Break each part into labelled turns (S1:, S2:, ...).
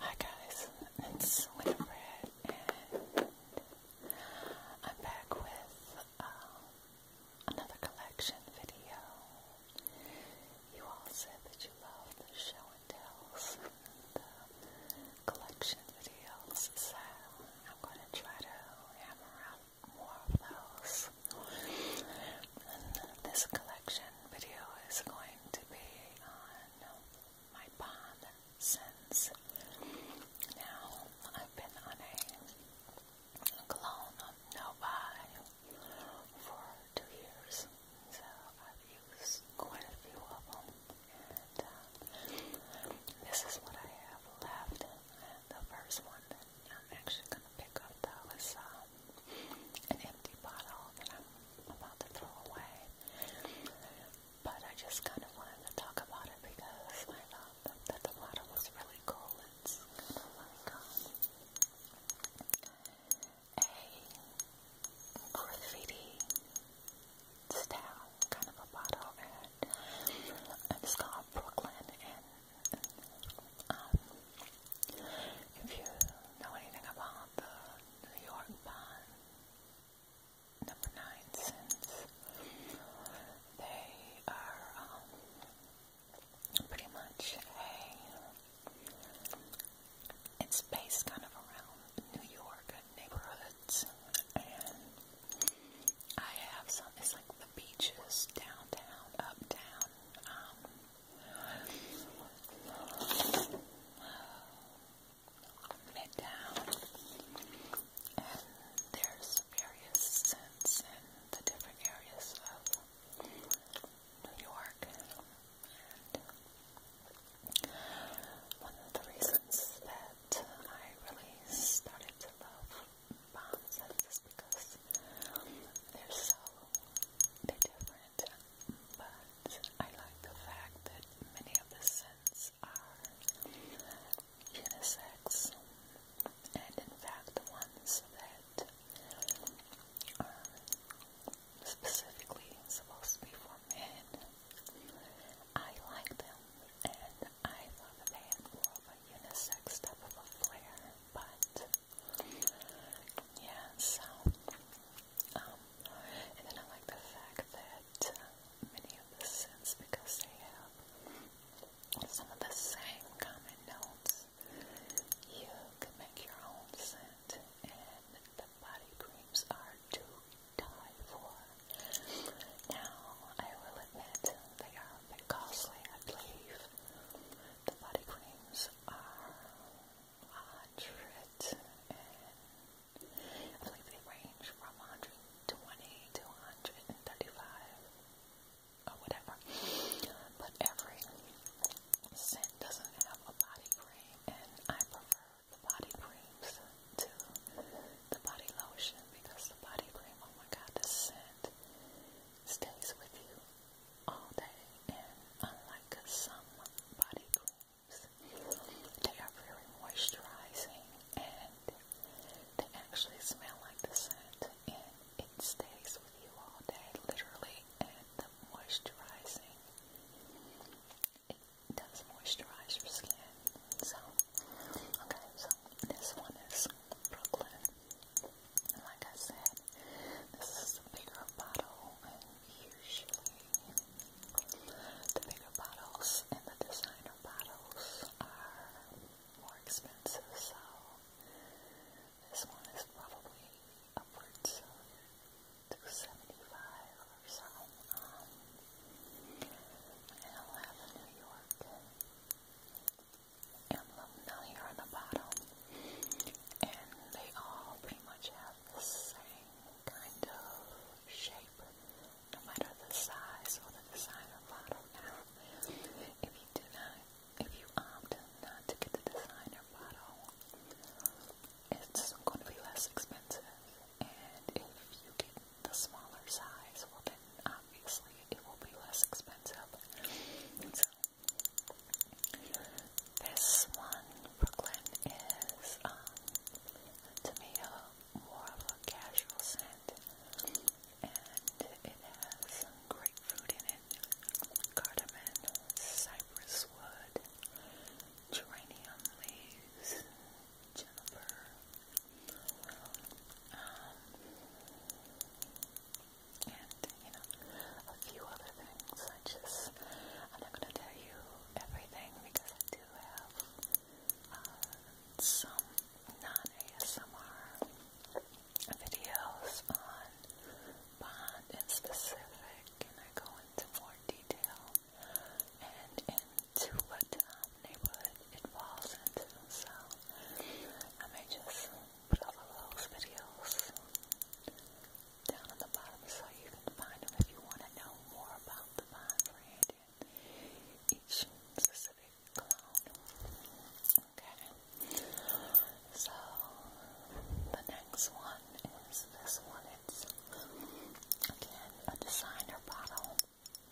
S1: Hi guys, it's Winifred and I'm back with um, another collection video. You all said that you love the show and tells the collection videos, so I'm going to try to hammer more of those. this collection video is going to be on my pond since. Now I've been on a clone of Novi for two years, so I've used quite a few of them. And uh, this is what I have left. And the first one that I'm actually going to pick up though is um, an empty bottle, and I'm about to throw away. But I just kind of wanted to talk about it because I thought that, the water was really cool. It's kind of like um, a graffiti style kind of a bottle, and, it's called Brooklyn. And, um, if you know anything about the New York bond, number nine cents. They are um, pretty much a, it's based kind of around New York neighborhoods. And I have some, it's like the beaches, downtown, uptown, um, Midtown, and there's various scents in the different areas of New York, one of the reasons that I really started to love scents is because they're so they're different but I like the fact that many of the scents are unisex, and in fact, the ones that are um, specifically supposed to be for men, I like them, and I love the man, had a unisex type of a flair, but yeah, so um, and then I like the fact that uh, many of the scents, because they have some of the same common notes, you can make your own scent. And the body creams are to die for. Now, I will admit they are a bit costly, I believe. The body creams are 100 and I believe they range from 120 to 135 or whatever. But every scent doesn't have a body cream and I prefer the body creams to the body lotion because the body cream, oh my god, the scent stays with you all day, and unlike some body creams, they are very moisturizing and they actually smell like the scent, and it stays with you all day, literally. And the moisturizing, it does moisturize your skin. So, okay, so this one is Brooklyn. And like I said, this is the bigger bottle and usually the bigger bottles and the designer bottles are more expensive so this one is probably upwards of 275 or so um, and I'll have a New York emblem down here on the bottom and they all pretty much have the same kind of shape, no matter the size or the designer bottle. Now, if you do not, if you opt not to get the designer bottle, it's going to be less expensive. And if you get the smaller size, well, then obviously it will be less expensive. This one, Brooklyn, is um, to me a, more of a casual scent, and it has some grapefruit in it, cardamom, cypress wood, geranium leaves, juniper. Um, and you a few other things. I just, I'm not going to tell you everything because I do have uh, some non-ASMR videos on Bond in specific, and I go into more detail and into what um, neighborhood it falls into. So I may just put up all those videos down at the bottom so you can find them if you want to know more about the brand and each specific clone. Okay. So the next one is this one. It's again a designer bottle.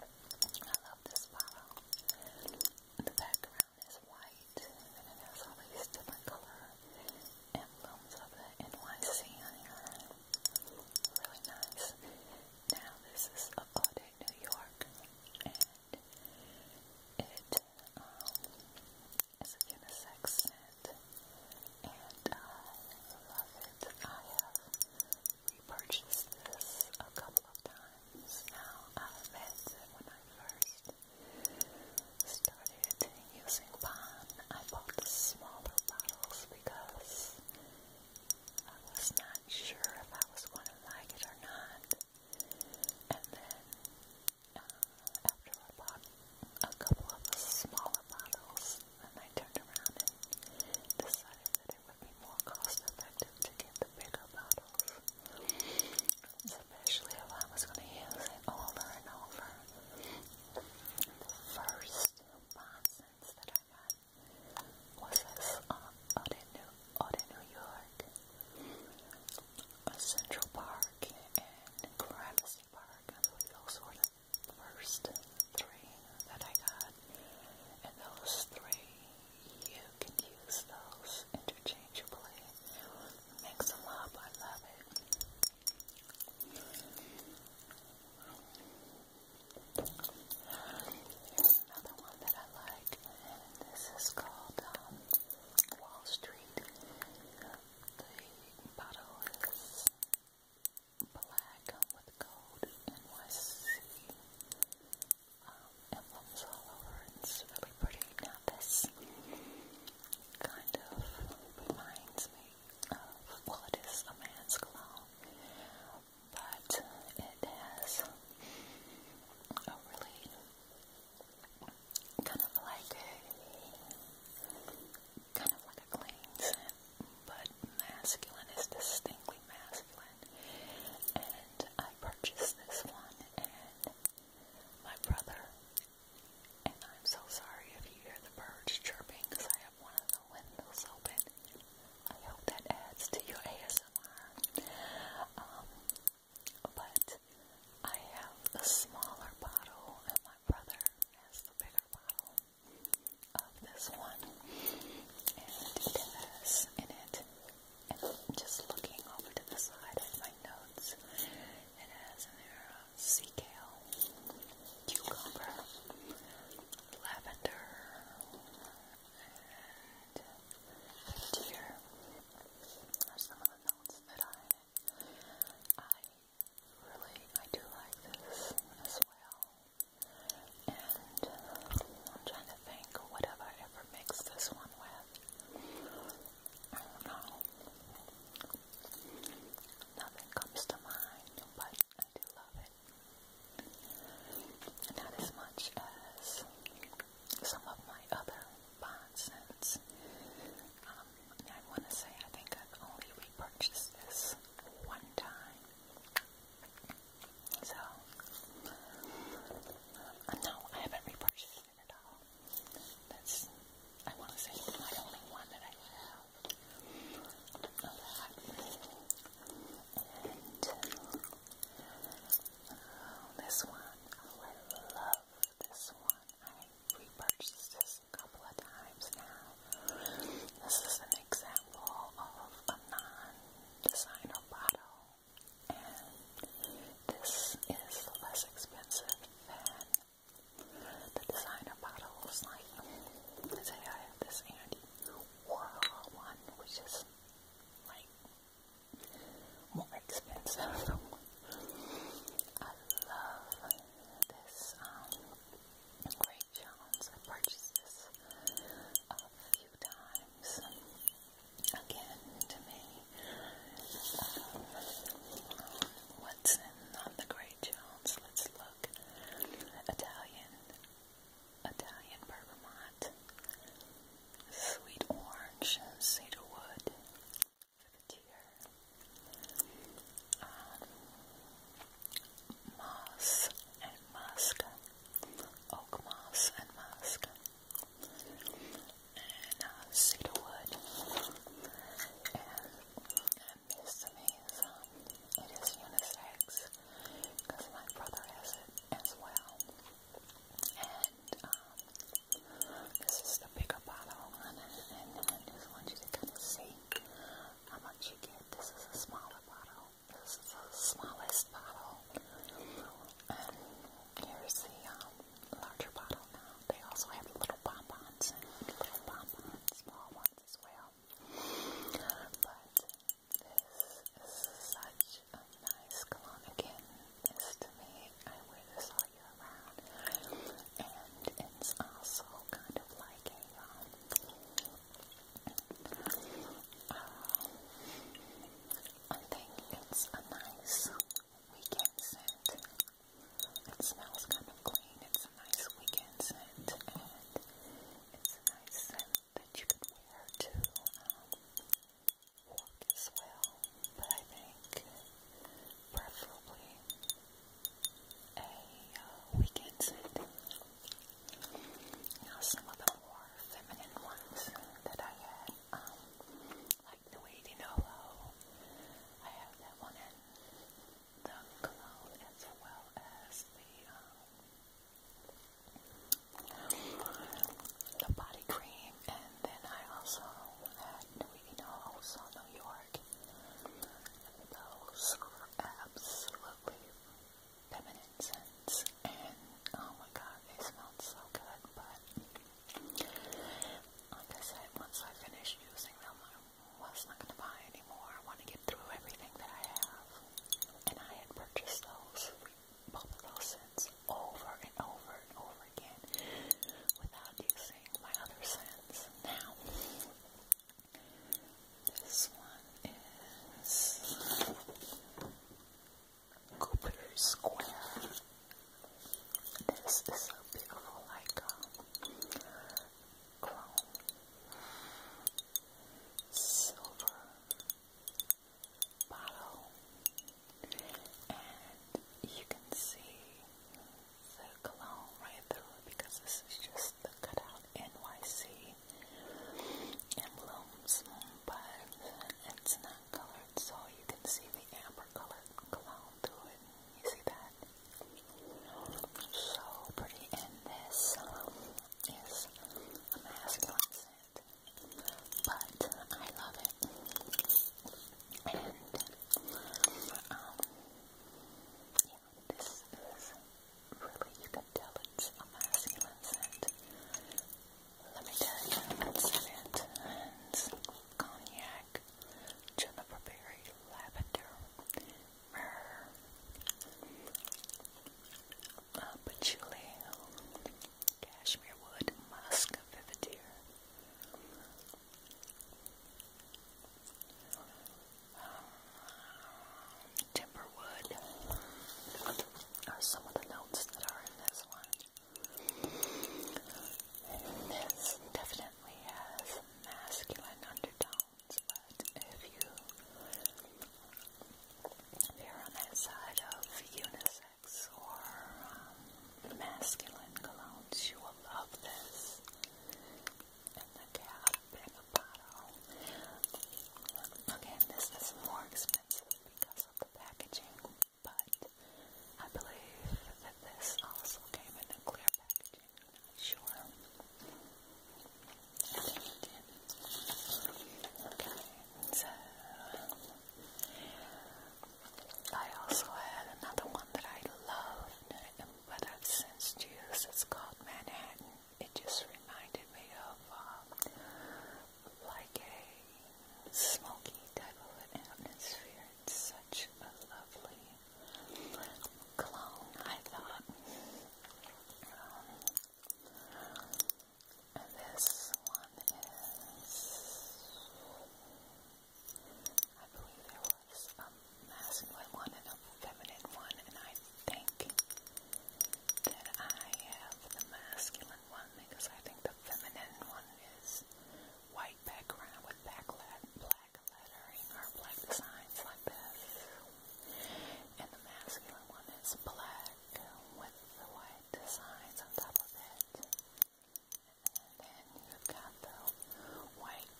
S1: I love this bottle. The background is white white, and all these different color emblems of the NYC on here. Really nice. Now this is a day in New York, and it um, is unisex and I uh, love it. I have repurchased this a couple of times now. I met it when I first started using pan. I bought the smaller bottles because I was not sure if I was going to like it or not. And then uh, after I bought a couple of the smaller bottles, and I turned around and decided that it would be more cost effective to get the bigger bottles especially if I was going to use it over and over. The first nonsense that I got was this um, out, New, York, Central Park and Gramercy Park. Those were the first three that I got, and those three, you can use those interchangeably. Mix them up. I love it. Here's another one that I like, and this is called um, Wall Street. The bottle is black with gold NYC um, emblems all over. It's really pretty. Now this kind of reminds me of, well it is a man's cologne, but it has a really kind of like a kind of like a clean scent, but masculine is distinctly masculine. And I purchased this one and my brother and I'm so sorry if you hear the birds chirping because I have one of the windows open. I hope that adds to your ASMR. Um, but I have the smaller bottle and my brother has the bigger bottle of this one. And it has in it, just looking over to the side side notes. It has in there uh, sea kale, cucumber, lavender, and deer. Are some of the notes that I I really I do like this as well. And I'm trying to think what have I ever mixed this one with. Oh no. Nothing comes to mind, but I do love it. Not as much as some of my other bond scents. Um, I want to say I think I've only repurchased this one time. So, uh, no, I haven't repurchased that's, I want to say, my only one that I have And oh, this one, oh, I love this one. I repurchased a couple of times now. This is an example of a non-designer bottle. And this is less expensive than the designer bottles. Like, say I have this Andy Warhol one, which is like more expensive. I love this um, Jones. I purchased this a few times again to me um, Watson, not the great Jones. Let's look. Italian, Italian bergamot, sweet orange, cedarwood, privateer, um, moss and musk, oak moss and musk and cedarwood, uh, and, this is, it is unisex, because my brother has it as well, and um, this is the bigger bottle, and I just want you to kind of see how much you get, this is a smaller bottle, this is the smallest bottle and here's the um, larger bottle now. They also have little bonbons and little bonbons, small ones as well. But this is such a nice cologne again. This to me, I wear this all year round. And it's also kind of like a um, um, I think it's a nice weekend scent. It smells kind of clean. It's a nice weekend scent, and it's a nice scent that you could wear to um, as well. But I think preferably a uh, weekend scent. Now, some of the more feminine ones that I had. Um, like the waiting hollow. I have that one and the clown as well as the um, the body cream and then I also had the waiting hollow also New York. Those absolutely feminine scents and oh my god they smelled so good but like I said, once I finish using them, I'm was not going to buy anymore. I want to get through everything that I have. And I had purchased those, both of those scents, over and over and over again without using my other scents. Now, this one is Cooper Square. This is a beautiful, like um, chrome, silver bottle, and you can see the cologne right through because this is just the cutout NYC emblems, but it's not colored and so you can see the amber colored cologne through it. You see that? So pretty. And this um, is a masculine scent, but I love it. And um, yeah, this is really you can tell it's a masculine scent. Let me cognac, juniper berry, lavender, myrrh, uh, patchouli, cashmere wood, musk, vivideer. Um, Timberwood are uh, some of the notes that are in this one this definitely has masculine undertones, but if you are on that side of unisex or um, masculine colognes, you will love this. And the cap and the bottle. Again, this is more expensive because of the packaging, but I believe that this also came in a clear packaging. sure. Okay, so I also had another one that I love, but I've since used. It's called Manhattan. It just reminded me of um, like a smoky type of an atmosphere. It's such a lovely clone, I thought. Um, and this one is, I believe there was a masculine one and a feminine one, and I think that I have the masculine one because I think the feminine one is white background with black lettering or black designs like this. And the masculine one is black with the white designs on top of it. And then you've got the white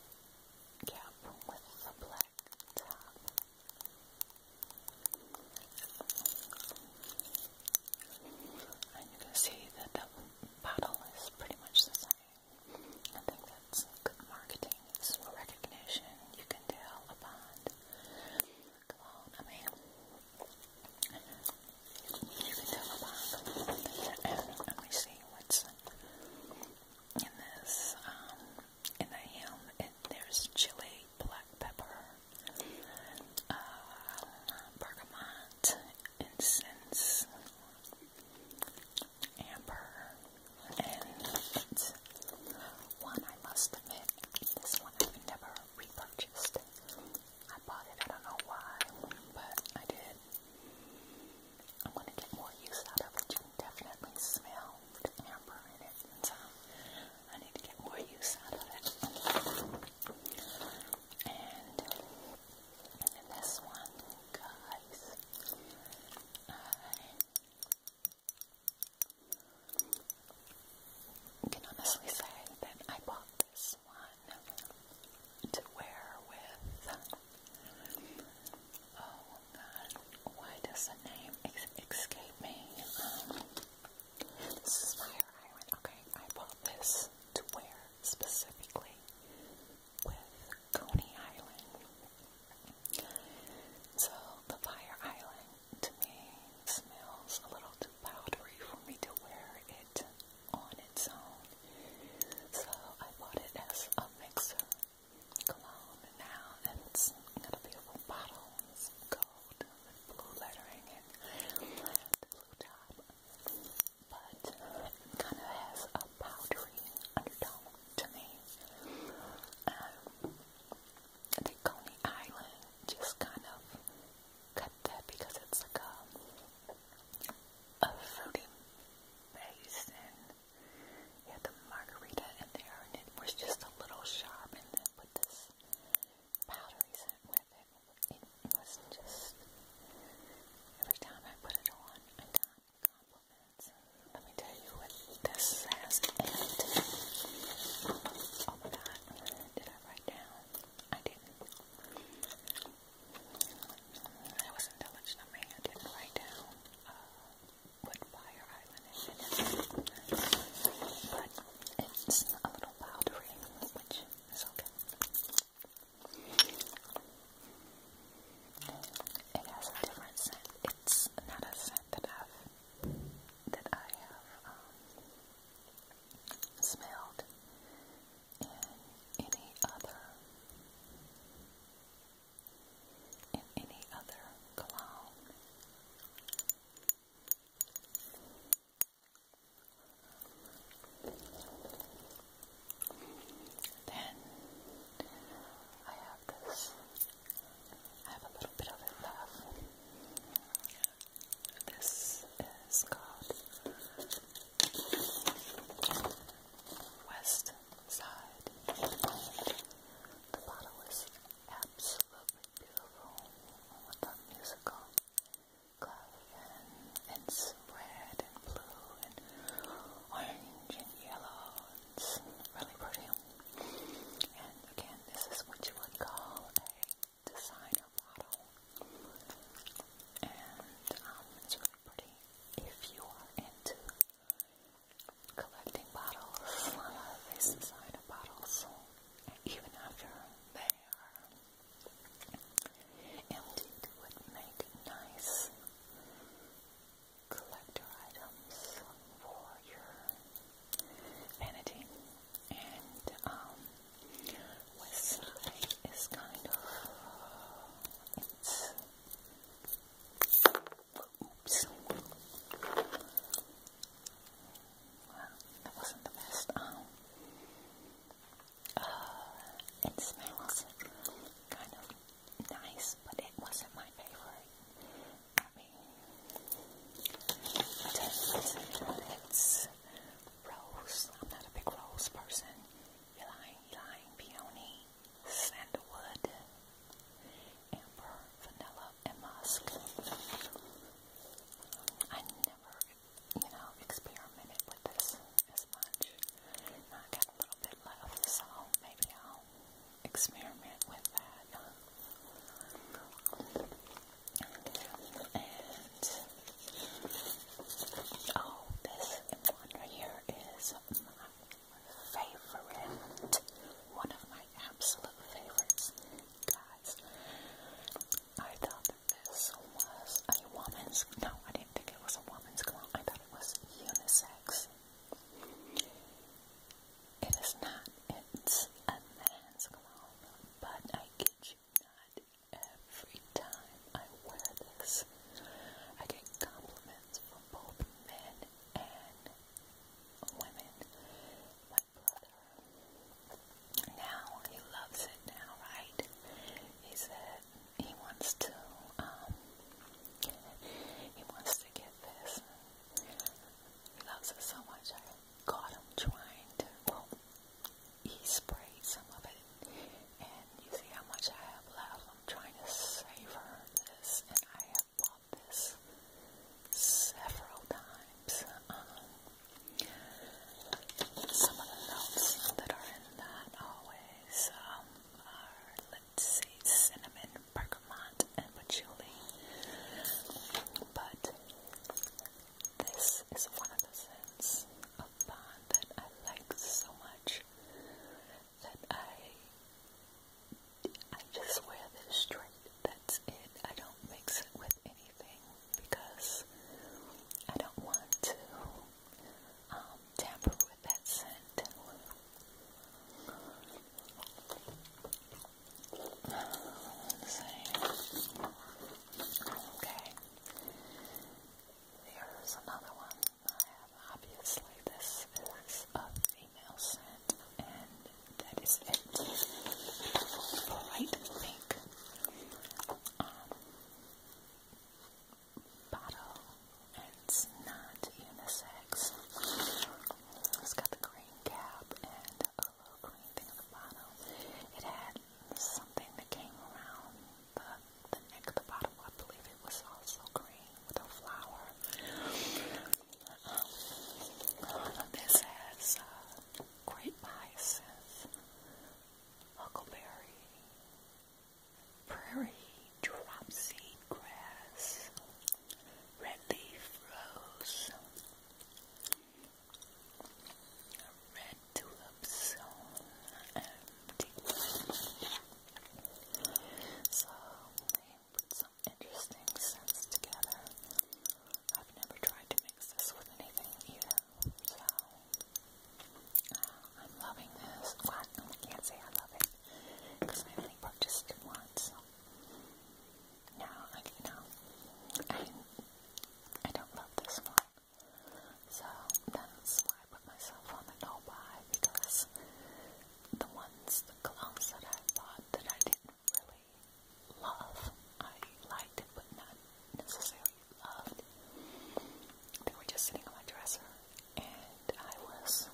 S1: cap with the black top. And you can see that the bottle is pretty much the same. I think that's good marketing. It's recognition. You can tell a bond. Come on, I mean, you can tell a bond. And let me see what's in this. Um, in the ham, there's chili, black pepper, uh, bergamot, incense, amber, and it's one I must admit, this one I've never repurchased. I bought it, I don't know why, but I did. I'm gonna get more use out of it. You can definitely smell the amber in it, and so I need to get more use out of it. And this one, guys, I can honestly say that I bought this one to wear with. Oh God, why does the name escape me? Um, this is where I okay, I bought this to wear specifically with Coney Island. So the Fire Island to me smells a little too powdery for me to wear it on its own. So I bought it as a mixer cologne now and it's a beautiful bottle. It's gold blue lettering and the blue top, but kind of has a powdery undertone to me. Um, the Coney Island just kind of cut that because it's like a fruity base and you had the margarita in there and it was just a little sharp and then put this powdery scent with it. It wasn't just every time I put it on, I got compliments. let me tell you what this says in it. Oh my did I write down? I didn't. That was of me. I didn't write down uh, what Fire But it's a little powdery, which much. It's okay. It has a different scent. It's not a scent that I've that I have um, smelled in any other in any other cologne. Then I have this. I have a little bit of it left. This is called West Side. The bottle is absolutely beautiful with the musical and red and blue and orange and yellow. It's really pretty. And again, this is what you would call a designer bottle. And um, it's really pretty if you are into collecting bottles. A lot of these designer bottles, even after there. Emptied would make nice collector items for your vanity. And um, west side is kind of it's oops. That wasn't the best. Um, it uh, smells kind of nice, but it wasn't my favorite. it's rose. I'm not a big rose person. Ylang ylang, peony, sandalwood, amber, vanilla, and musk. I never, you know, experimented with this as much. I got a little bit left, so maybe I'll experiment with that. And oh, this one right here is my favorite, one of my absolute favorites, I thought that this was a woman's, no, I didn't think it was a woman's gown. I thought it was unisex. It is not. It's a man's gown. but I get you not, every time I wear this, I get compliments from both men and women. Now he loves it now, right? He said he wants to um, he wants to get this. He loves it so much I caught him trying to he sprayed some of it and you see how much I have left. I'm trying to savor this and I have bought this several times. Um, some of the notes that are in that always um, are, let's see, cinnamon, bergamot, and patchouli. But this is one of the scents of Bond that I like so much that I I just wear this straight. That's it. I don't mix it with anything because I don't want to um, tamper with that scent. Okay. Here's another one I have. Obviously, this is a female scent, and that is it. bright pink um, bottle. It's not unisex. It's got the green cap and a little green thing at the bottom. It had something that came around the, the neck of the bottle. I believe it was also green with a flower. Um, this has uh, Great hyacinth, huckleberry, prairie dropseed grass, red rose, red tulips, So um, they put some interesting scents together. I've never tried to mixes with anything either. So uh, I'm loving this. I can't say I love it because I only purchased it No, I know I I don't love this one. So that's why I put myself on the no buy because the ones, the colognes that I bought that I didn't really love. I liked it, but not necessarily loved. They were just sitting on my dresser, and I was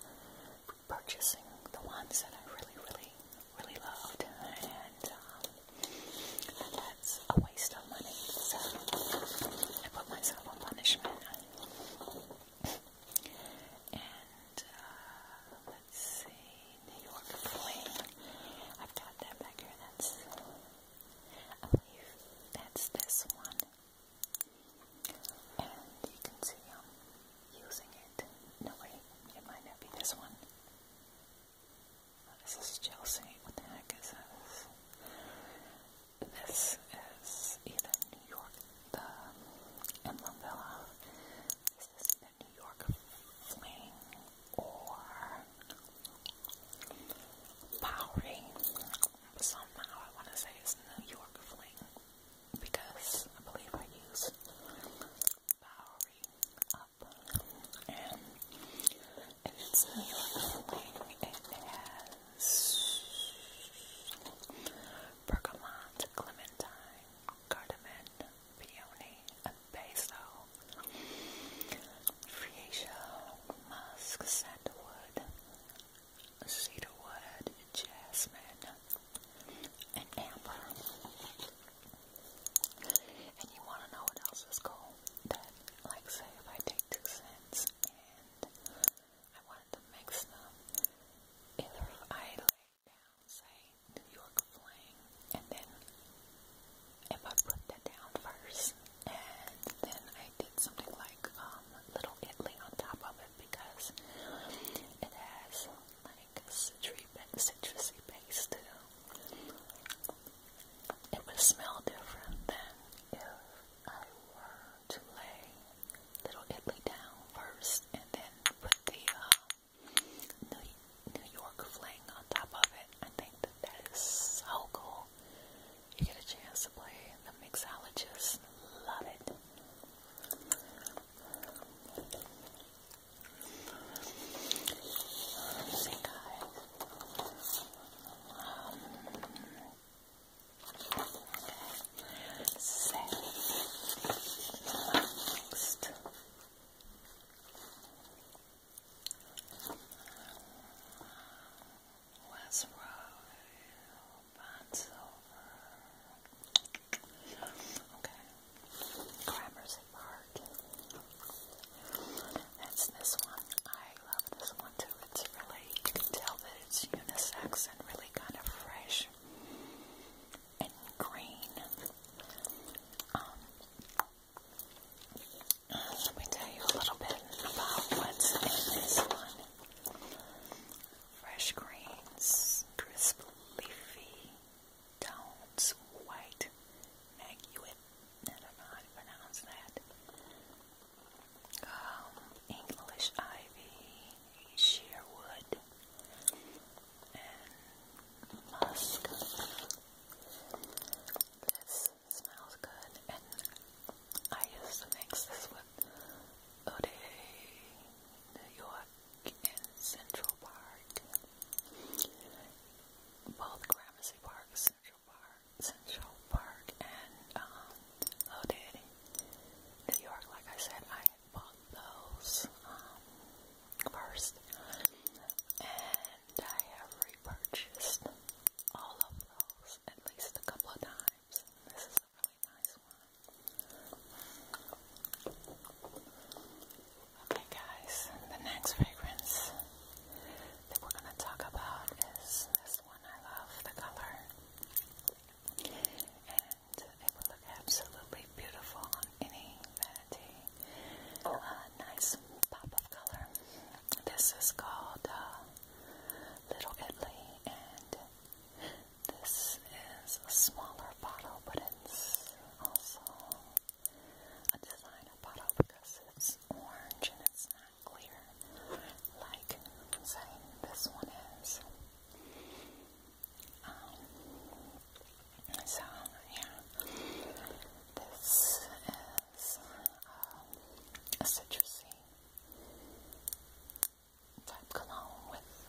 S1: purchasing the ones that I really, really, really loved, and um, that's a waste of money. So I put myself on punishment. And uh, see, New York Flame. I've got that back here. That's, that's this one. And you can see i using it. No, wait, it might not be this one. Oh, this is Chelsea. What the heck is this? This is either New York, the Emblem Villa is this New York fling or Bowery? Somehow I want to say it's New York fling because I believe I use Bowery up and it's New York fling it has bergamot, clementine, cardamom, peony and basil, freesia, musk, sandalwood, cedarwood, jasmine, and amber. And you want to know what else is cool? That, like, say if I take two scents and I wanted to mix them, if I lay say New York Fling, and then if I put that down first, and then I did something like um, Little Italy on top of it because it has like citrusy base It would smell different than if I were to lay Little Italy down first and then put the New, York fling on top of it. I think that that is so cool. You get a chance to play the mixologist. Love it. Um, okay. next, West Road, Bonsover. Okay. Gramercy Park. That's this one. I love this one too. It's really, you can tell that it's unisex and really kind of fresh and green. Um, uh, let me tell you a little bit about what's in this one. Fresh greens, crisp, leafy tones, white maguet. I don't know how to pronounce that. Um, English ivy, sheerwood, and musk. This smells good, and I used to mix this with Ode New York and Central Park. Both Gramercy Park, Central Park, Central Park, and um, Ode New York. Like I said, I bought those um, first, and I have repurchased all of those at least a couple of times. This is a really nice one. Okay, guys, the next fragrance that we're going to talk about is this one. I love the color. They will look absolutely beautiful on any vanity. A oh. uh, nice pop of color. This is called uh, Little Italy, and this is a smaller bottle, but it's also a designer bottle because it's orange and it's not clear like, this one is. Um, so, yeah, this is um, a citrusy type cologne with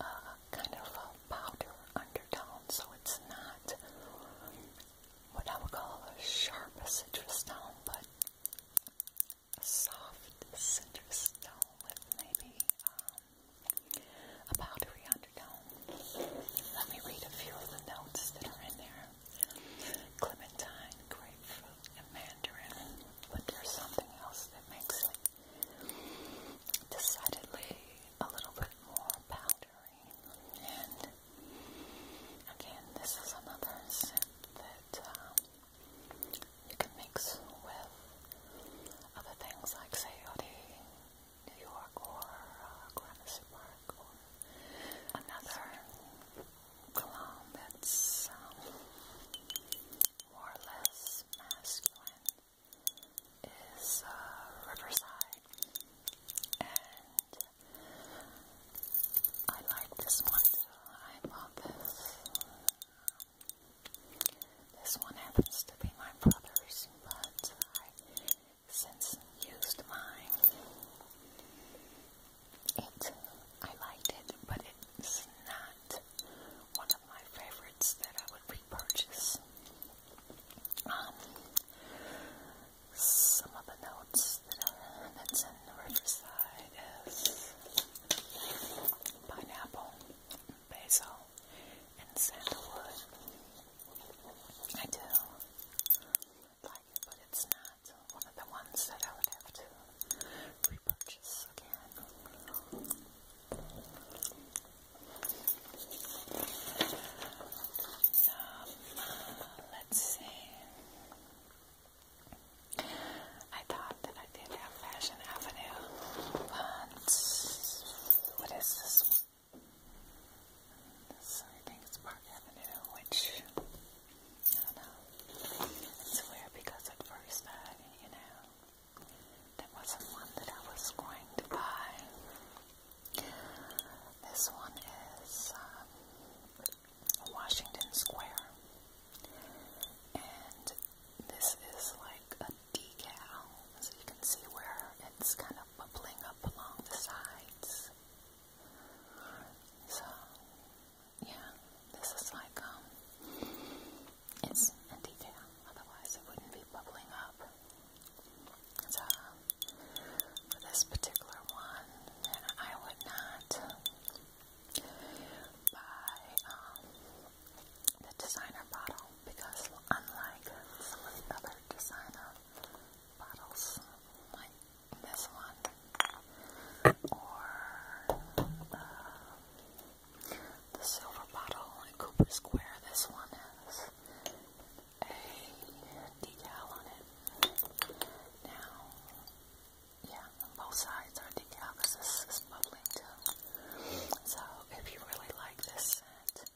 S1: uh, kind of a powder undertone, so it's not what I would call a sharp citrus tone, but a soft citrus tone with maybe um, about Rianderdome. Let me read a few of the notes that are in there. Clementine, grapefruit, and mandarin, but there's something else that makes it decidedly a little bit more powdery. And again, this is another scent that um, you can mix with other things like COD, New York, or uh, Gramercy or another cologne that's um, more or less masculine is uh, Riverside, and I like this one too. I bought this. Uh, this one happens to be my brother's, but I since used mine. It, I liked it, but it's not one of my favorites that I would repurchase. Um, some of the notes that's in the Riverside is pineapple, basil, and sandalwood. I do like it, but it's not one of the ones that I would have to repurchase again. Um, let's see. I thought one I did at Fashion Avenue. But what is this one? This, I think it's Park Avenue, which I don't know. It's weird because at first you know, that wasn't one that I was going to buy. This one is um, Washington Square. And this is like a decal, so you can see where it's kind of bubbling up along the sides. So, yeah, this is like, um, it's a decal, otherwise it wouldn't be bubbling up. So, um, for this particular one, I would not buy, um, the designer bottle because unlike some other designer bottles like this one or uh, the silver bottle in Cooper Square, this one has a decal on it. Now, yeah, both sides are decal this is bubbling too. So if you really like this scent,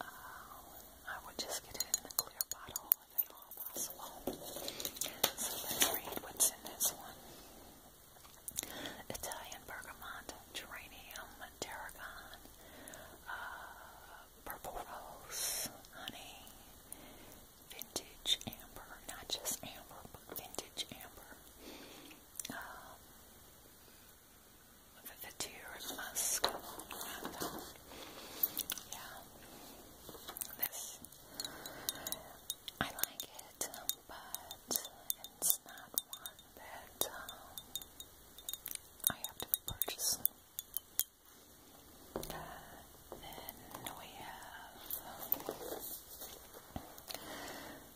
S1: um, I would just get it in a clear bottle if at all possible. So let's read what's in this one. Italian bergamot, geranium, tarragon, uh, purple rose, honey, vintage amber, not just amber, but vintage amber, um, the Vetiver Musk yeah, this, I like it, but it's not one that um, I have to purchase. Uh, we have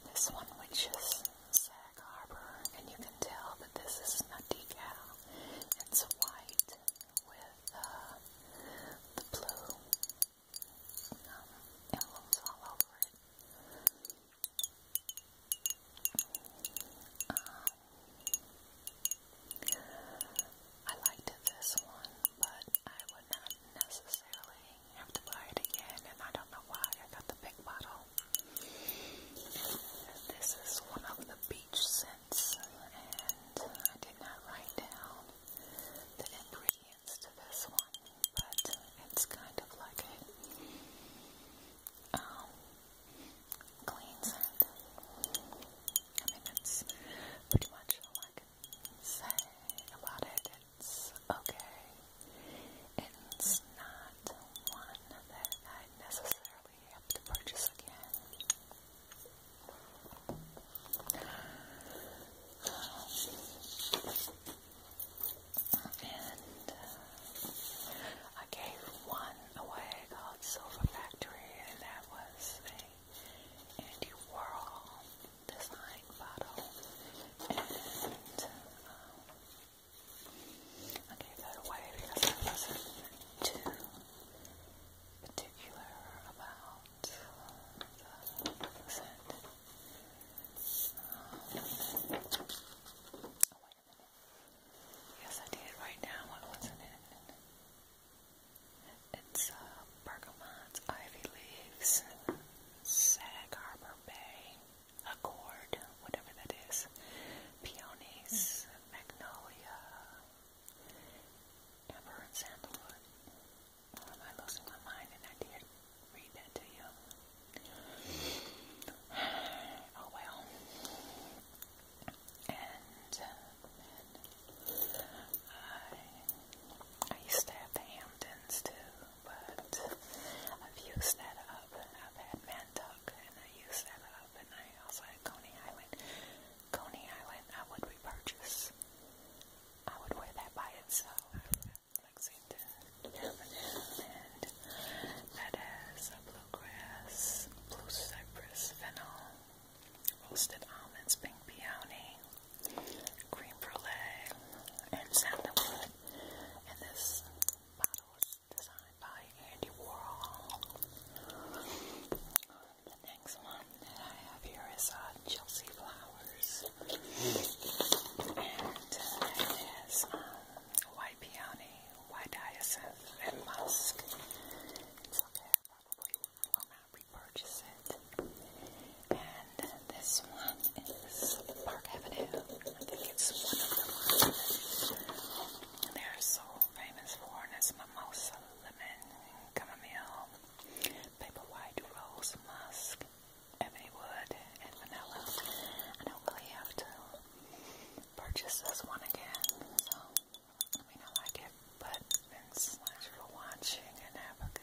S1: this one, which is Sag Harbor, and you can tell that this is not decal. It's white with uh, the blue um, all over it. Um, I liked this one, but I would not necessarily have to buy it again, and I don't know why I got the big bottle. This is one of the beach scents, and I did not write down the ingredients to this one, but it's kind of like um, clean scent. I mean, it's pretty much like say about it. It's okay. It's not one that I necessarily have to purchase again. Um, and uh, I gave one away called Silver Factory, and that was a Andy Warhol design bottle, and um, I gave that away because I wasn't too particular about uh, the scent. Um, yes, I did. Right now, what was it in? It's uh, bergamot's ivy leaves. Sag Harbor Bay, Accord, whatever that is, Peonies, mm. Magnolia, Amber and Sandalwood. Well, am um, I losing my mind? And I did read that to you. Oh well. And then uh, I, I used to have the Hamptons too but I've used that up. I've had Mantuck, and I used that up, and I also had Coney Island. Coney Island, I would repurchase. I would wear that by itself. Lexington, that has bluegrass, blue cypress, fennel, roasted almonds, pink peony, cream brulee, and sandalwood. And this bottle was designed by Andy Warhol. The next one that I have here is uh, Chelsea Flowers. And it uh, has um, white peony, white hyacinth, and musk. okay, probably will not repurchase purchase it. And this one is Park Avenue. I think it's one of the ones they're so famous for, and it's lemon, chamomile, paper rose, musk, ebony wood, and vanilla. I don't really have to purchase this one again, so I mean I like it, but since thanks for watching and have a good